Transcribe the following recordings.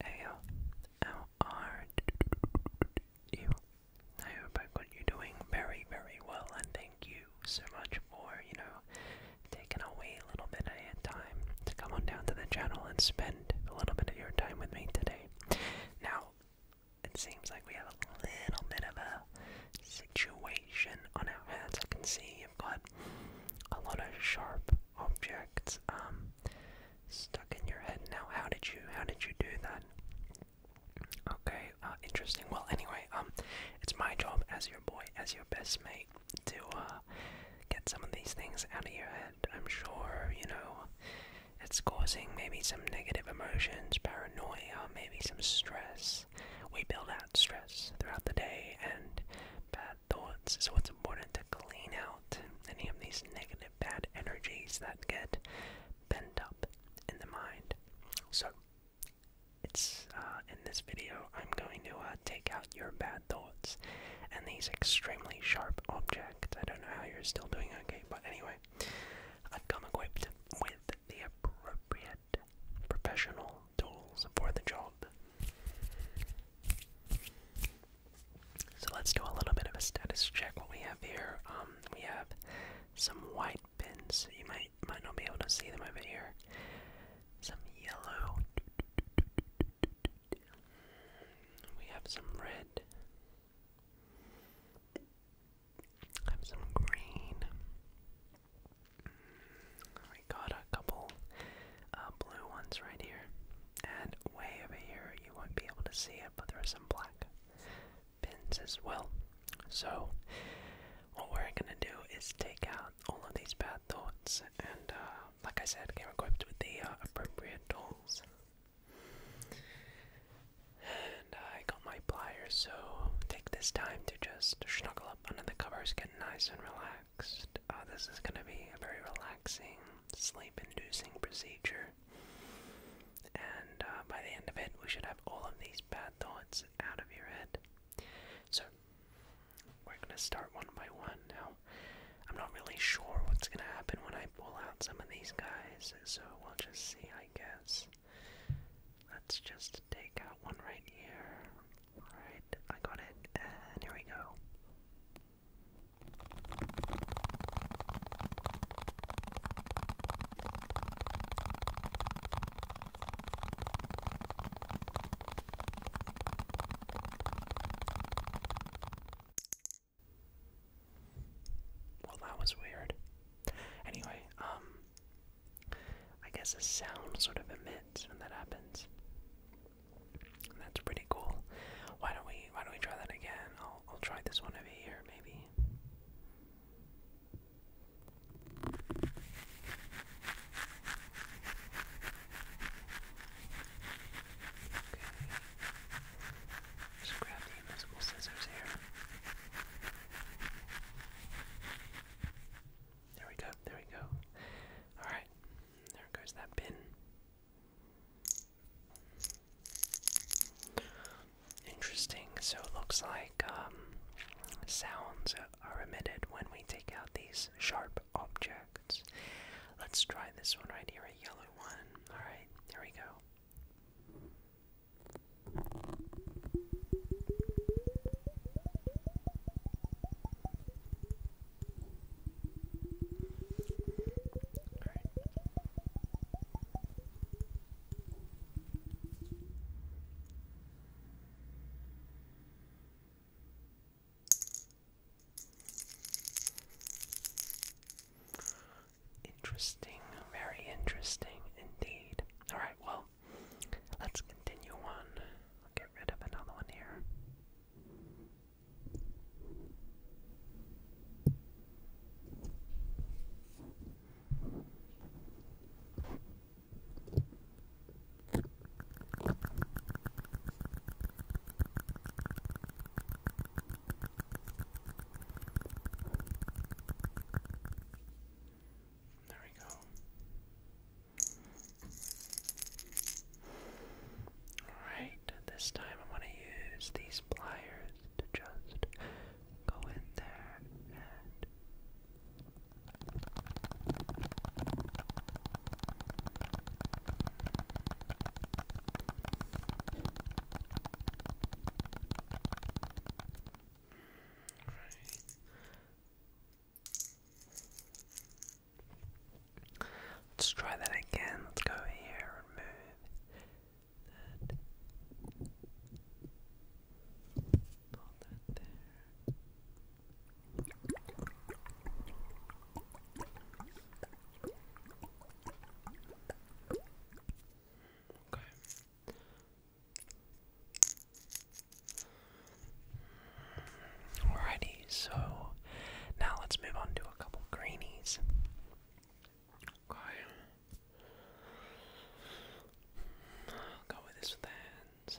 A-O-R-D-U. I hope I got you doing very, very well, and thank you so much for, you know, taking away a little bit of your time to come on down to the channel and spend a little bit of your time with me today. Now, it seems like we have a little bit of a situation on our hands. I can see got a lot of sharp objects um, stuck in your head now. How did you how did you do that? Okay, uh, interesting. Well, anyway, um, it's my job as your boy, as your best mate, to uh, get some of these things out of your head. I'm sure you know it's causing maybe some negative emotions, paranoia, maybe some stress. We build out stress throughout the day, and bad thoughts. So it's important to clean out any of these negative bad energies that get bent up in the mind. So it's uh, in this video I'm going to uh, take out your bad thoughts and these extremely sharp objects. I don't know how you're still doing okay, but anyway, I've come equipped with the appropriate professional tools for the job. So let's do a little bit of a status check. What we have here, um, we have some white pins. You might might not be able to see them over here. Some yellow. We have some red. have some green. We got a couple uh, blue ones right here. And way over here, you won't be able to see it, but there are some black pins as well. So, what we're gonna do is take out all of these bad thoughts, and uh, like I said, get equipped with the uh, appropriate tools. And I got my pliers, so take this time to just snuggle up under the covers, get nice and relaxed. Uh, this is going to be a very relaxing, sleep inducing procedure. And uh, by the end of it, we should have all of these bad thoughts out of your head. So, we're going to start one by one. Now, I'm not really sure what's going to happen when I pull out some of these guys, so we'll just see, I guess. Let's just take out one right here, Alright, I got it, here we go. Well, that was weird. Anyway, um, I guess a sound sort of emits when that happens. that's pretty cool. Why don't we why don't we try that again? I'll I'll try this one over here maybe. Okay. Just grab the invisible scissors here. There we go, there we go. Alright, there goes that pin. Interesting, so it looks like um, sounds are emitted when we take out these sharp objects. Let's try this one right here, a yellow one. Alright, There we go. Alright. Interesting, very interesting indeed. Alright, well, let's continue on I'll get rid of another one here. There we go. Alright, this time I'm going to use these pliers to just go in there and. Right. Let's try that again. Let's go here and move that. that there. Okay. Alrighty, so now let's move on to a couple greenies. Okay. I'll go with this with the hands.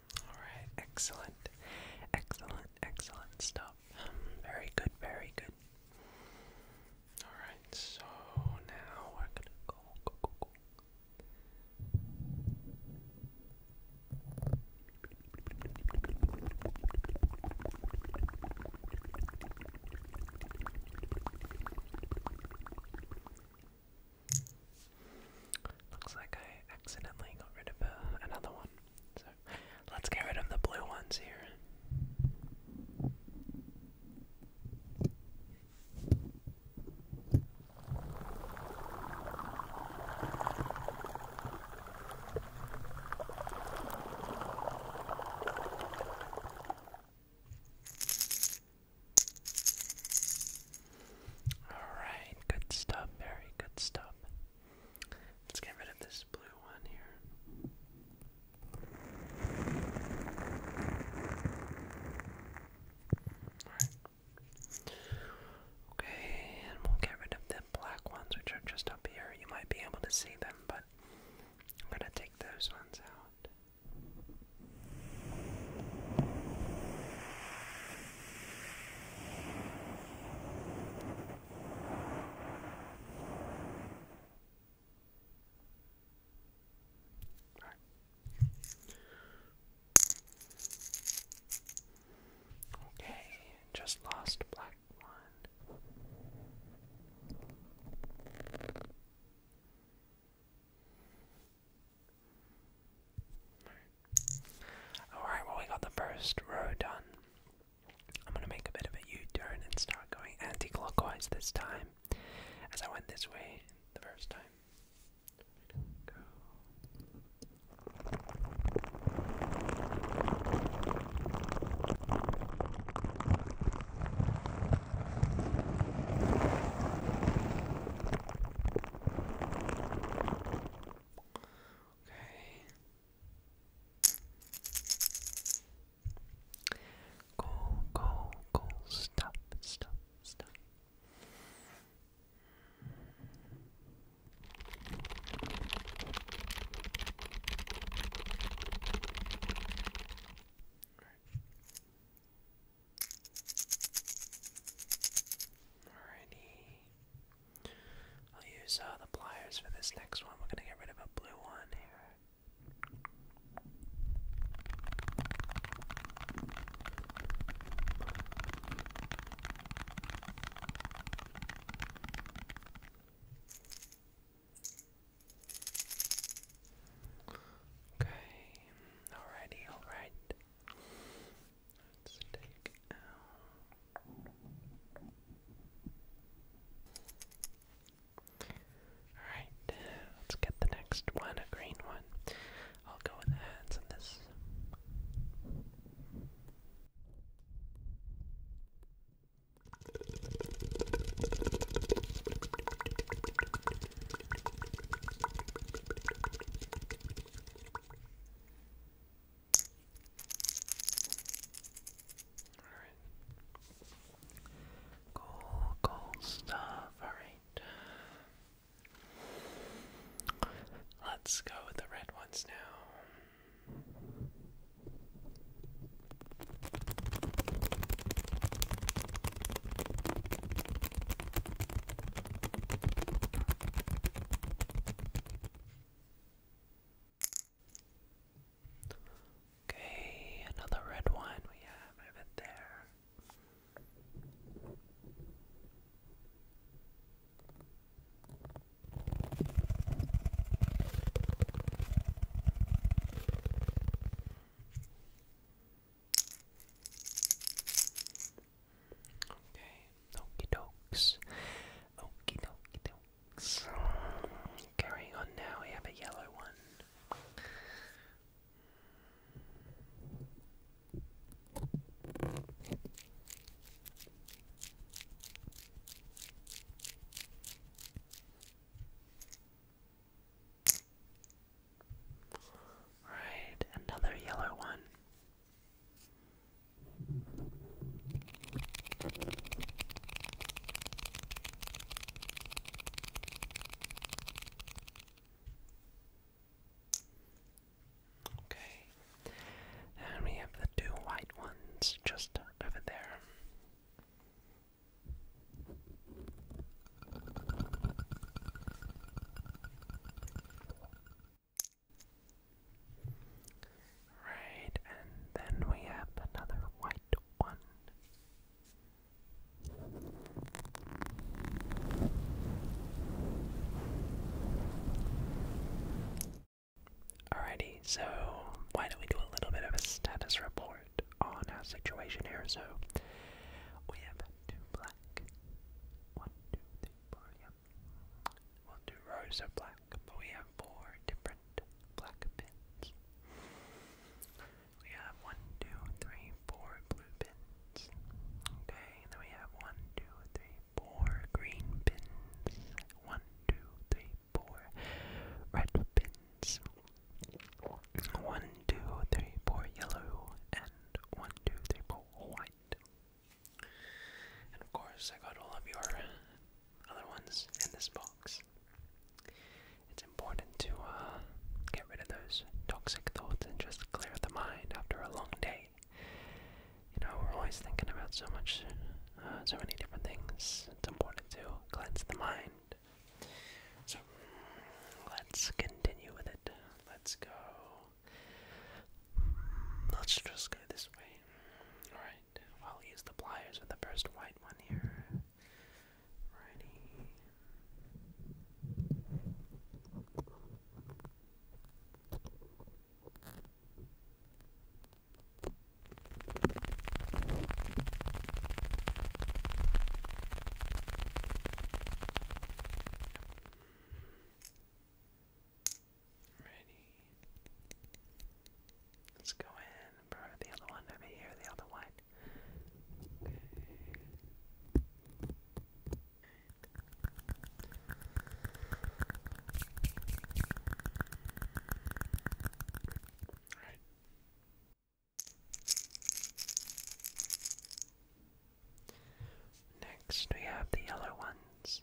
Alright, excellent. Excellent, excellent stuff. Very good, very good. Alright, so now we're gonna go, go, go, go. Looks like I accidentally got rid of uh, another one. So let's get rid of the blue ones here. Alright, good stuff, very good stuff. Let's get rid of this blue one here. Alright. Okay, and we'll get rid of the black ones, which are just up here. You might be able to see them, but I'm gonna take those ones out. All right. Okay, just lost black one. Alright, well, we got the first row done. I'm gonna make a bit of a U turn and start going anti clockwise this time, as I went this way the first time. Okay. Go, go, go. Stop, stop, stop. Alrighty. I'll use uh, the pliers for this next one. We're gonna get rid of a blue one here. Okay, alrighty, alright. Let's Alright, let's get the next one, a green one. I'll go with the hands on this. Cool, cool stuff. Alright. Let's go with the red ones now. Okay, another red one we have over there. Okay, okie dokes. Okie dokie dokes. Carrying on now, we have a yellow one. Right, another yellow one. Okay, and we have the two white ones just over there. Right, and then we have another white one. Alrighty, so why don't we do a little bit of a status report on our situation here? So we have two black. One, two, three, four, We'll do rose or black, but we have four different black pins. We have one, two, three, four blue pins. Okay, then we have one, two, three, four green pins. One, two, three, four red pins. One, two, three, four yellow, and one, two, three, four white. And of course, I got all of your other ones in this box. It's important to uh, get rid of those toxic thoughts and just clear the mind after a long day. You know, we're always thinking about so much, uh, so many different things. It's important to cleanse the mind. So let's continue with it. Let's go Let's just go this way. Alright, I'll use the pliers for the first white one here. Righty. Ready. Let's go in for the other one over here, the other one. Okay. Alright. Next, we have the yellow ones.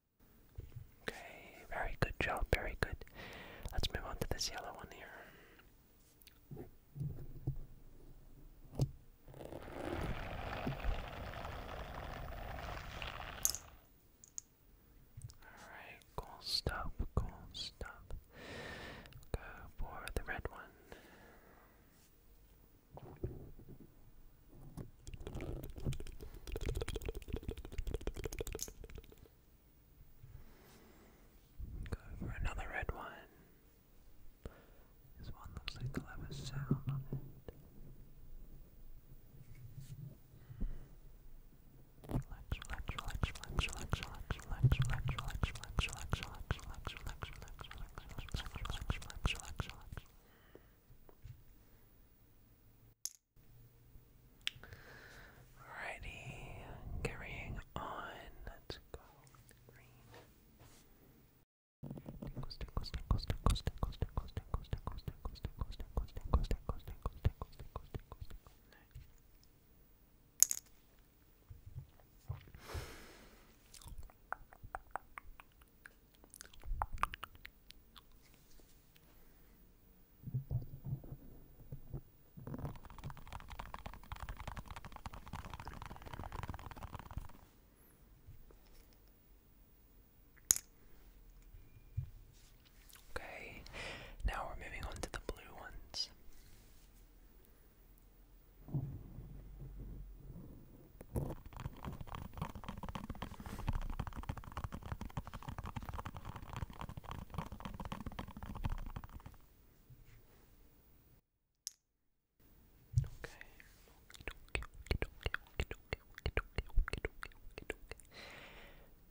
Okay, very good job, very good. Let's move on to this yellow one here. Alright, cool stuff, cool stuff. Go for the red one. Go for another red one. This one looks like they'll sound on it. Relax, relax, relax, relax, relax, relax, relax, relax, relax, relax, relax, relax, relax, relax, relax, relax, relax, relax, relax, relax. Alrighty, carrying on. Let's go Okay, now we're moving on to the blue ones. Okay.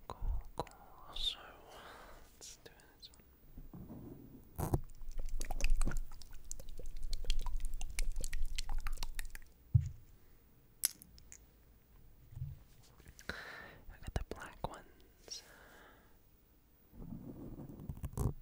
Cool, cool. So let's do this one. I got the black ones. Right.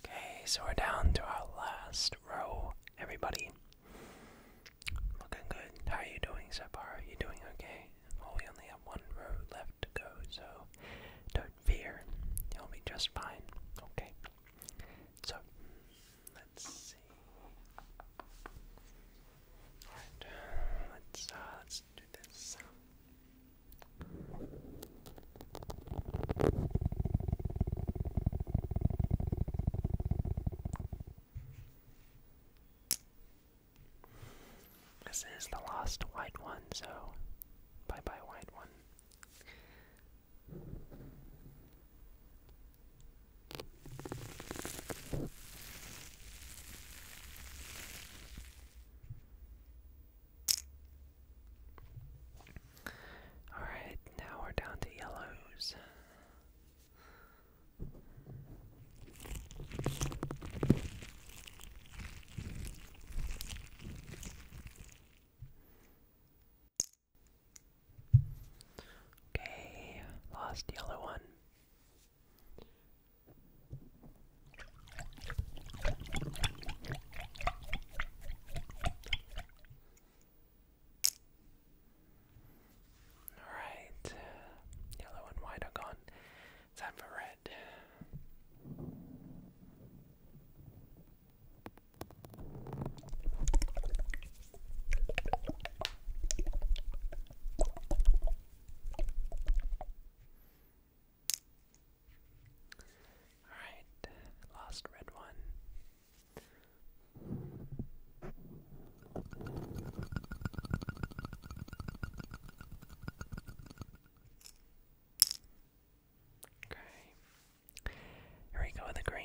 Okay, so we're down to our last row, everybody. Looking good. How are you doing so far? Are you doing okay? Well, we only have one row left to go, so don't fear. You'll be just fine. Okay. So, let's see. let's, uh, let's do this. This is the lost white one, so bye bye, white one. Alright, now we're down to yellows. Okay, lost yellow one. Alright, yellow and white are gone. Time for red. Alright, last red one. Okay. Here we go with the green.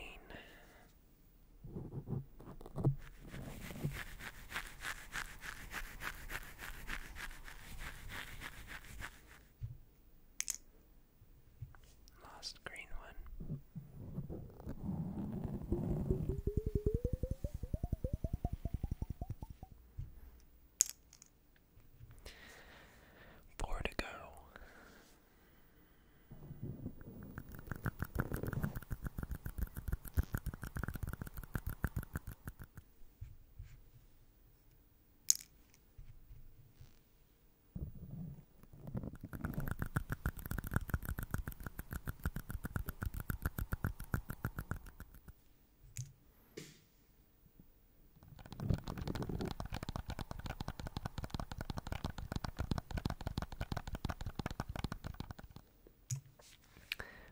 Last green one. Four to go.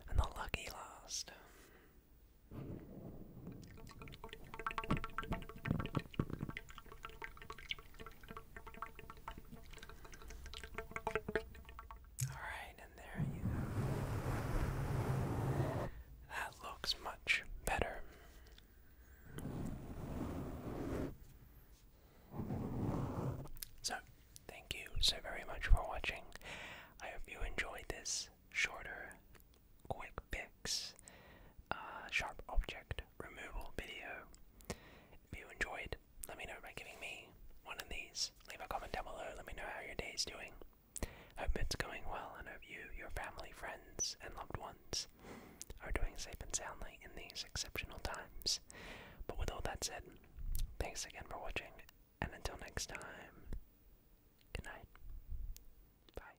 And the lucky last. Alright, and there you go. That looks much better. So, thank you so very much for watching. I hope you enjoyed this shorter quick fix, uh, sharp object removal video. If you enjoyed, let me know by giving me one of these. Leave a comment down below, let me know how your day is doing. Hope it's going well, and hope you, your family, friends, and loved ones are doing safe and soundly in these exceptional times. But with all that said, thanks again for watching, and until next time, good night. Bye.